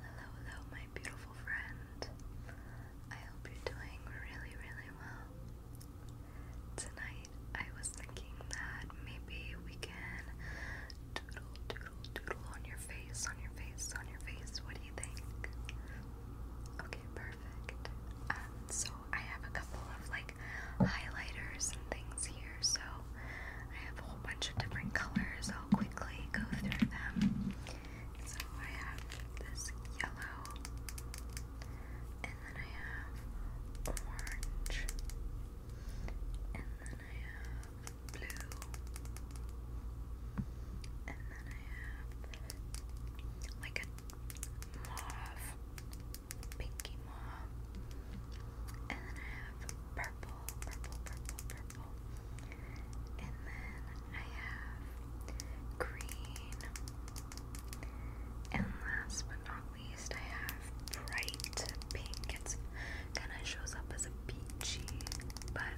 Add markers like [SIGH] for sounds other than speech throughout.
Hello, hello, my beautiful friend. I hope you're doing really, really well. Tonight, I was thinking that maybe we can doodle, doodle, doodle on your face, on your face, on your face. What do you think? Okay, perfect. Um, so I have a couple of like highlighters and things here, so I have a whole bunch of different colors. I'll quickly go through them. So I have this yellow, and then I have orange, and then I have blue, and then I have like a mauve, pinky mauve, and then I have purple, purple, purple, purple. And then I have green. And last but not least, I have bright pink. It's kind of shows up as a peachy, but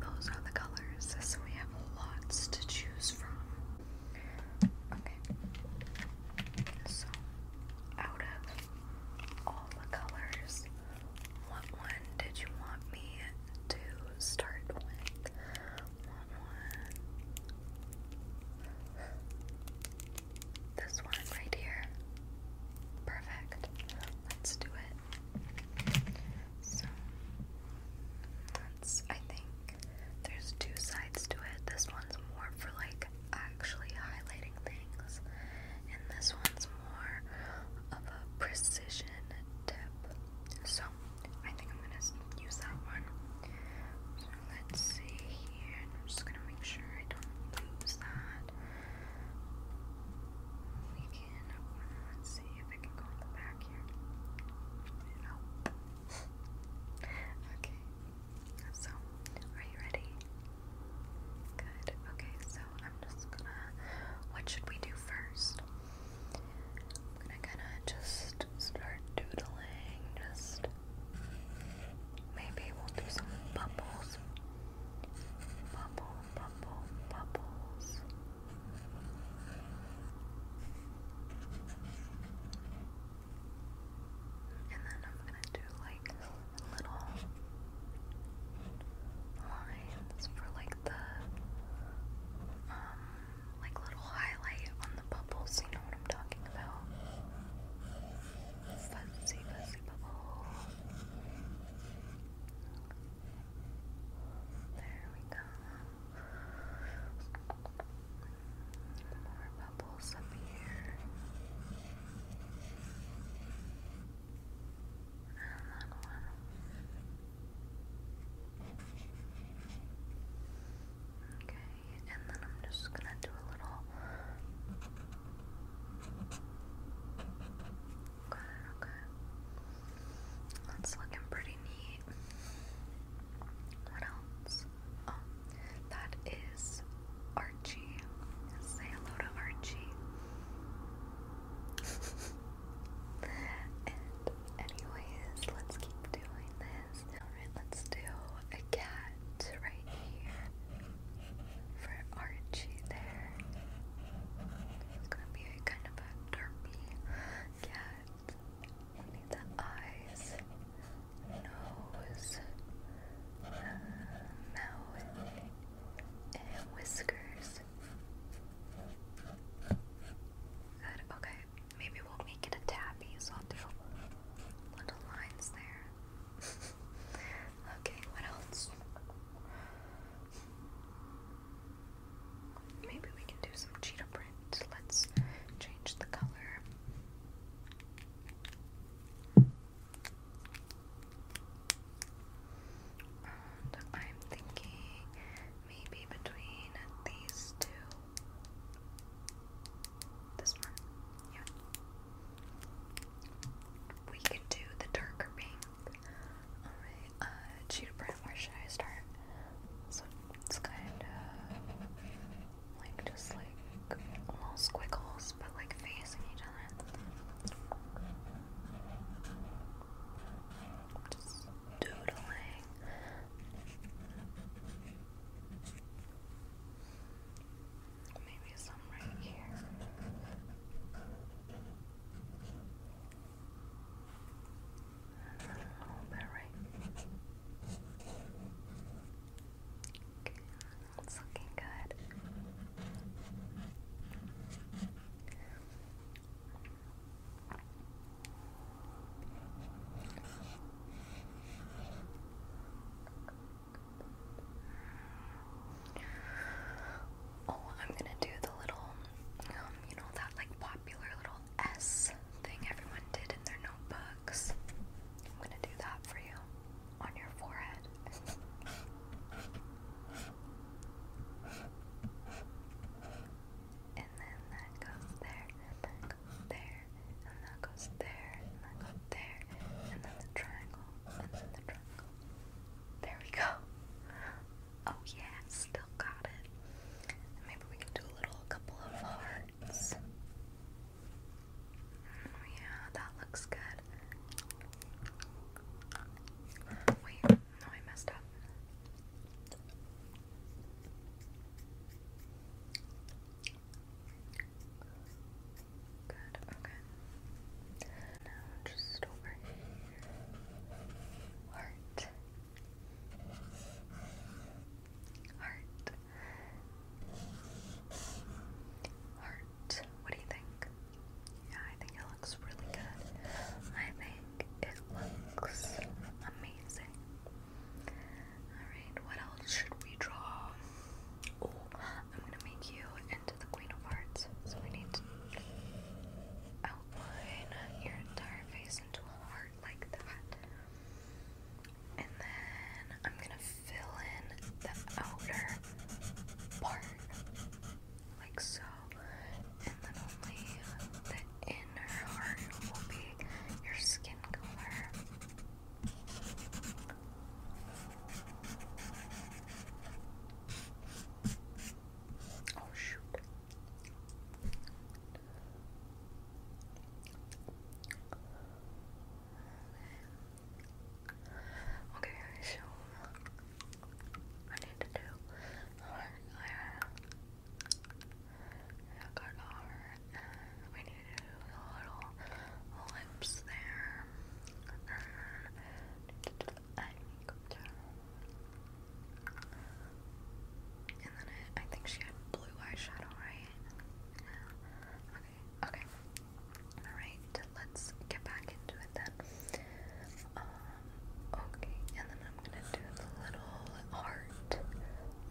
those are the colors, so we have lots to choose from. Okay, so out of all the colors. What one did you want me to start with? This one right here. Perfect. Let's do it. So, that's, I think, there's two sides to it. This one's more for like actually highlighting things, and this one's more of a precision tip. So I think I'm gonna use that one. So let's see here. I'm just gonna make sure I don't lose that. We can. Let's see if I can go in the back here. Nope. Oh. [LAUGHS] okay. So, are you ready? Good. Okay, so I'm just gonna. What should we do first? I'm gonna kind of just start doodling. Just maybe we'll do some bubbles. Bubble, bubble, bubbles. And then I'm gonna do like little lines for like the um like little highlight on the bubbles, you know what I'm talking about? Fuzzy fuzzy bubble. There we go. More bubbles up here. Okay, and then I'm just gonna do a little. Got okay. That's looking pretty neat. What else? that is Archie. Say hello to Archie. [LAUGHS] and anyways, let's keep doing this. let's do a cat right here for Archie there. It's gonna be kind of a derpy cat. We need the eyes nose, uh, mouth, and eh, whiskers. Good, okay. Maybe we'll make it a tabby, so I'll do little lines there. [LAUGHS] okay, what else? Maybe we can do some cheetah print. Let's change the color. And I'm thinking maybe between these two. This one, yeah. We can do the darker pink. Alright, uh, where should I start? So it's kind of like just like little squiggles, but like facing each other. Just doodling. Maybe some right here. a little bit right it's looking good. Oh, I'm gonna do the little, um, you know, that like popular little S thing everyone did in their notebook. I'm gonna do that for you on your forehead. and then that goes there, there, and that goes there, there, and then the triangle, and then the triangle. There we go. Oh yeah, still got it. maybe we can do a little, couple of heart uh, Oh, yeah, that looks good. Wait, no, I messed up. Good, okay. Now just over here. Heart. Heart. Heart. What do you think? Yeah, I think it looks really good. I think it looks amazing. Alright, what else should we draw? Oh, I'm gonna make you into the Queen of Hearts. So we need to outline your entire face into a heart like that. And then I'm gonna fill in the outer part like so. And then only the inner heart will be your skin color. Oh shoot. Okay, so I need to do heart layer. we need to do the little lips there. And I need to do and then I, think she had blue eyeshadow, right? Okay, okay. Alright, let's get back into it then. Um, okay, and then I'm gonna do the little heart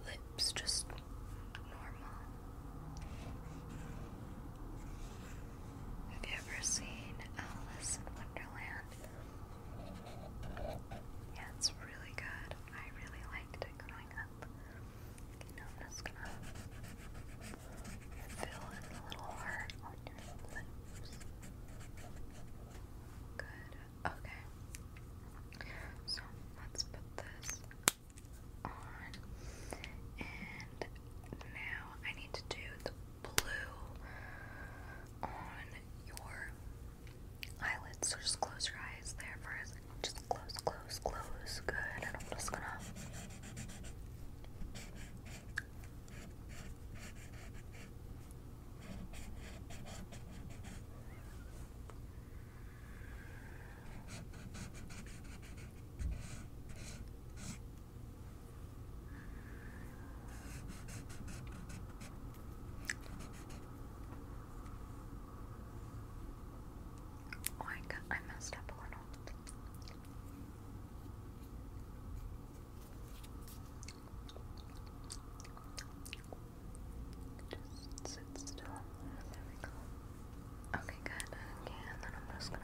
lips, just normal. Have you ever seen Alice in Wonderland? Yeah, it's really good. I really liked it growing up. Okay, now I'm just gonna fill in the little heart on your lips. Good. Okay. So let's put this on. And now I need to do the blue on your eyelids. So just close your eyes there for a Just close, close, close. Good. I'm just gonna. Oh, I, got, I messed up a little. Just sit still. There we go. Okay, good. Okay, then I'm just gonna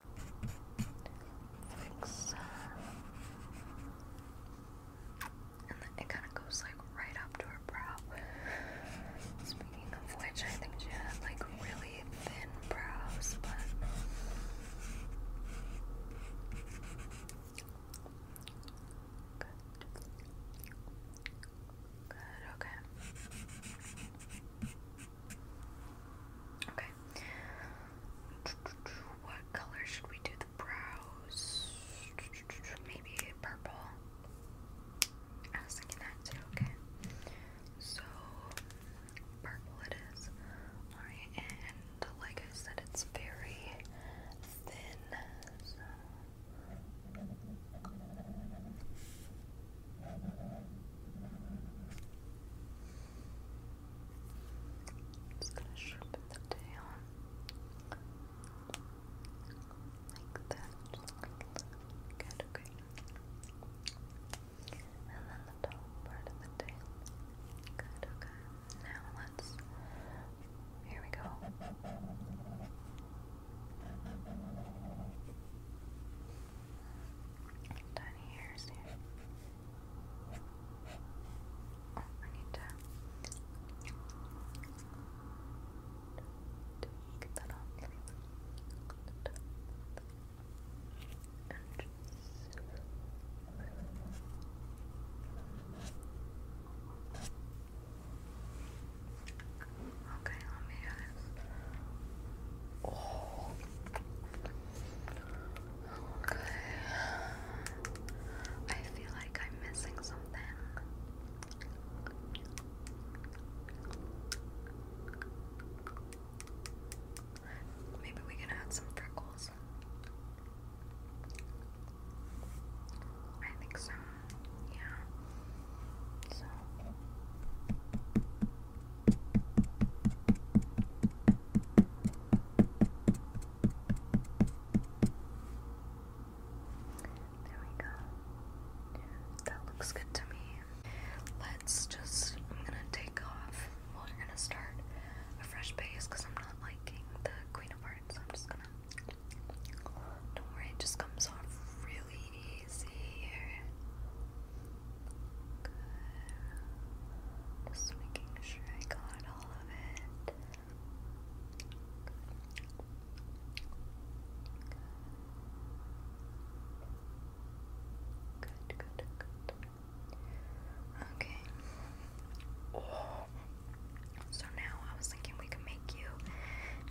like so. Uh, and it kind of goes like right up to her brow. Speaking of which, I think she had like really thin brows, but good. Good, okay. Okay. What color should we do the brows? Maybe purple. I was thinking that too, okay. So purple it is. Alright, and like I said, it's very thin. Just gonna sharpen the tail like that. Good, okay. And then the top part of the tail. Good, okay. Now let's. Here we go. Tiny hairs here. Oh, I need to get that off. Okay, let me hear Oh. Okay. I feel like I'm missing something. Maybe we can add some freckles. I think so yeah. So. There we go. That looks good to me. Let's just, I'm gonna take off. Well, we're gonna start a fresh base because I'm not liking the Queen of Hearts. I'm just gonna. Don't worry, it just comes off really easy Just making sure I got all of it. Good, good, good. Okay. So now I was thinking we could make you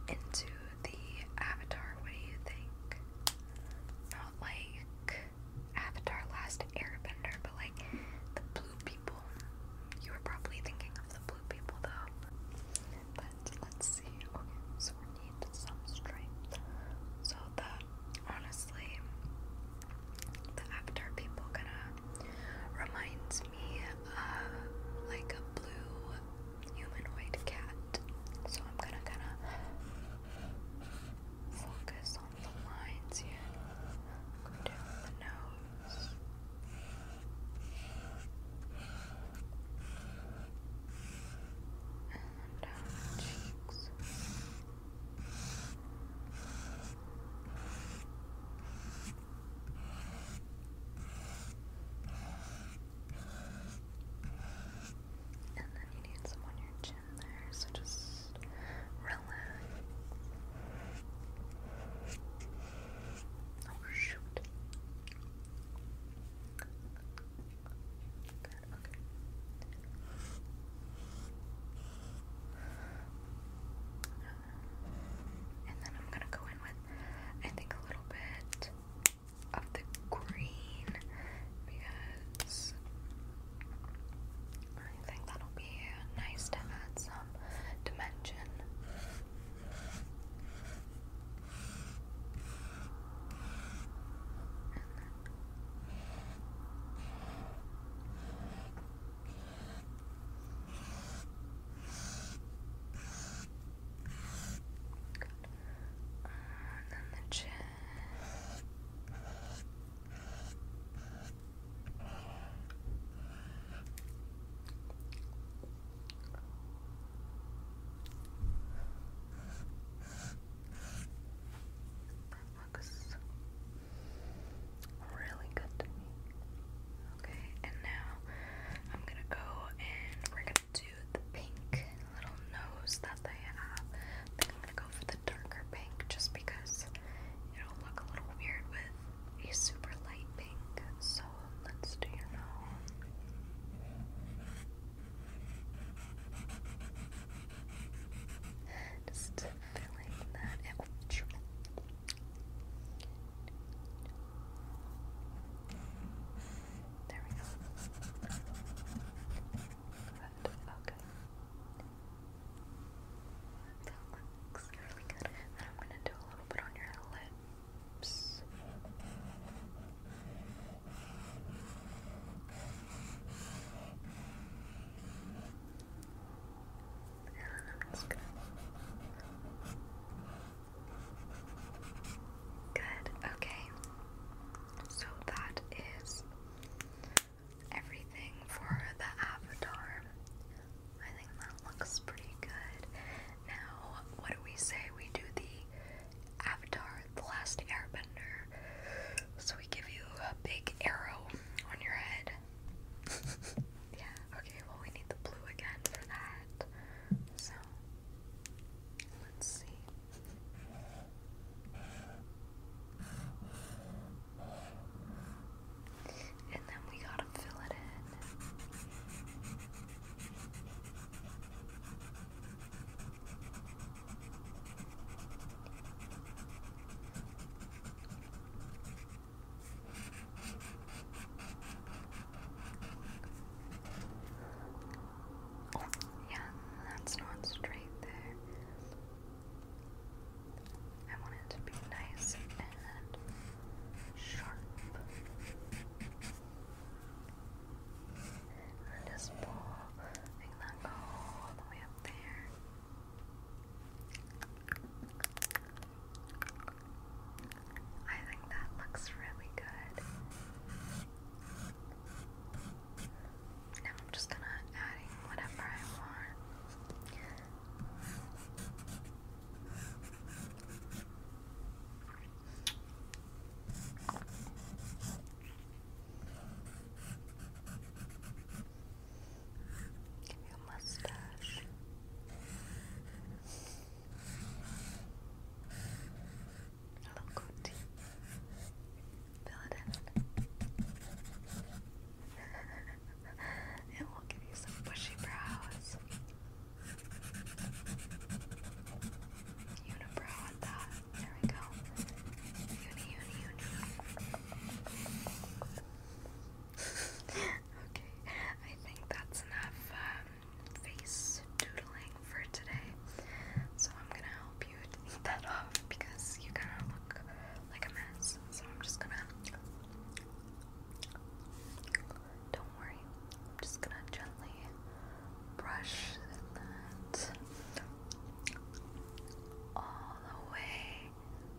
into the Avatar. What do you think? Not like Avatar Last Airbender, but like the blue people. You were probably thinking of the blue people though. But let's see. we need some So that honestly the Avatar people kinda reminds reminds me like a blue humanoid cat. So I'm gonna kind of focus on the lines here. down the nose. And down the cheeks. And then you need some on your chin there, so just relax. Oh shoot. Good, okay. And then I'm gonna go in with, I think, a little bit of the green because I think that'll be nice to add some dimension. Good. And then the chin. That looks really good Okay, and now I'm gonna go and we're gonna do the pink little nose that they have. I think I'm gonna go for the darker pink just because it'll look a little weird with a super light pink. So let's do your nose. Just filling that out. There we go. Okay. That looks really good. Then I'm gonna do a little bit on your lips and I'm Good, okay. So that is everything for the avatar. I think that looks pretty good. Now, what do we say? We do the avatar, the last airbender. So we give you a big arrow on your head, [LAUGHS] yeah, okay, well, we need the blue again for that. So, let's see. And then we gotta fill it in. Yeah, that's not straight there. I want it to be nice and sharp. And just pulling that go all the way up there. I think that looks really good. Now I'm just gonna adding whatever I want. Your mustache. Hello, cutie. Fill it in. it [LAUGHS] will give you some bushy brows. Unibrow at that. There we go. Uni, okay, I think that's enough um, face doodling for today. So I'm gonna help you take that off because you kind of look like a mess. So I'm just gonna. Don't worry, I'm just gonna gently brush that all the way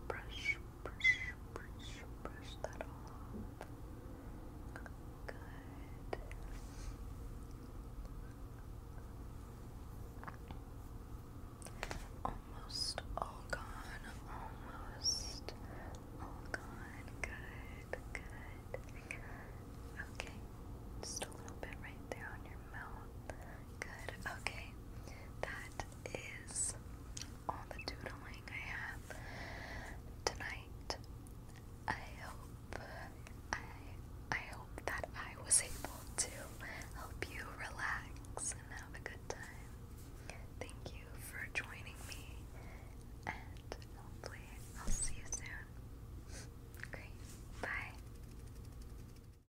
brush, brush, brush, brush that off. Good. Almost all gone. Almost all gone. Good, good. Okay. Just a little bit right there on your mouth. Good. Okay. That that is all the doodling I have tonight. I hope I I hope that I was able to help you relax and have a good time. Thank you for joining me and hopefully I'll see you soon. Bye.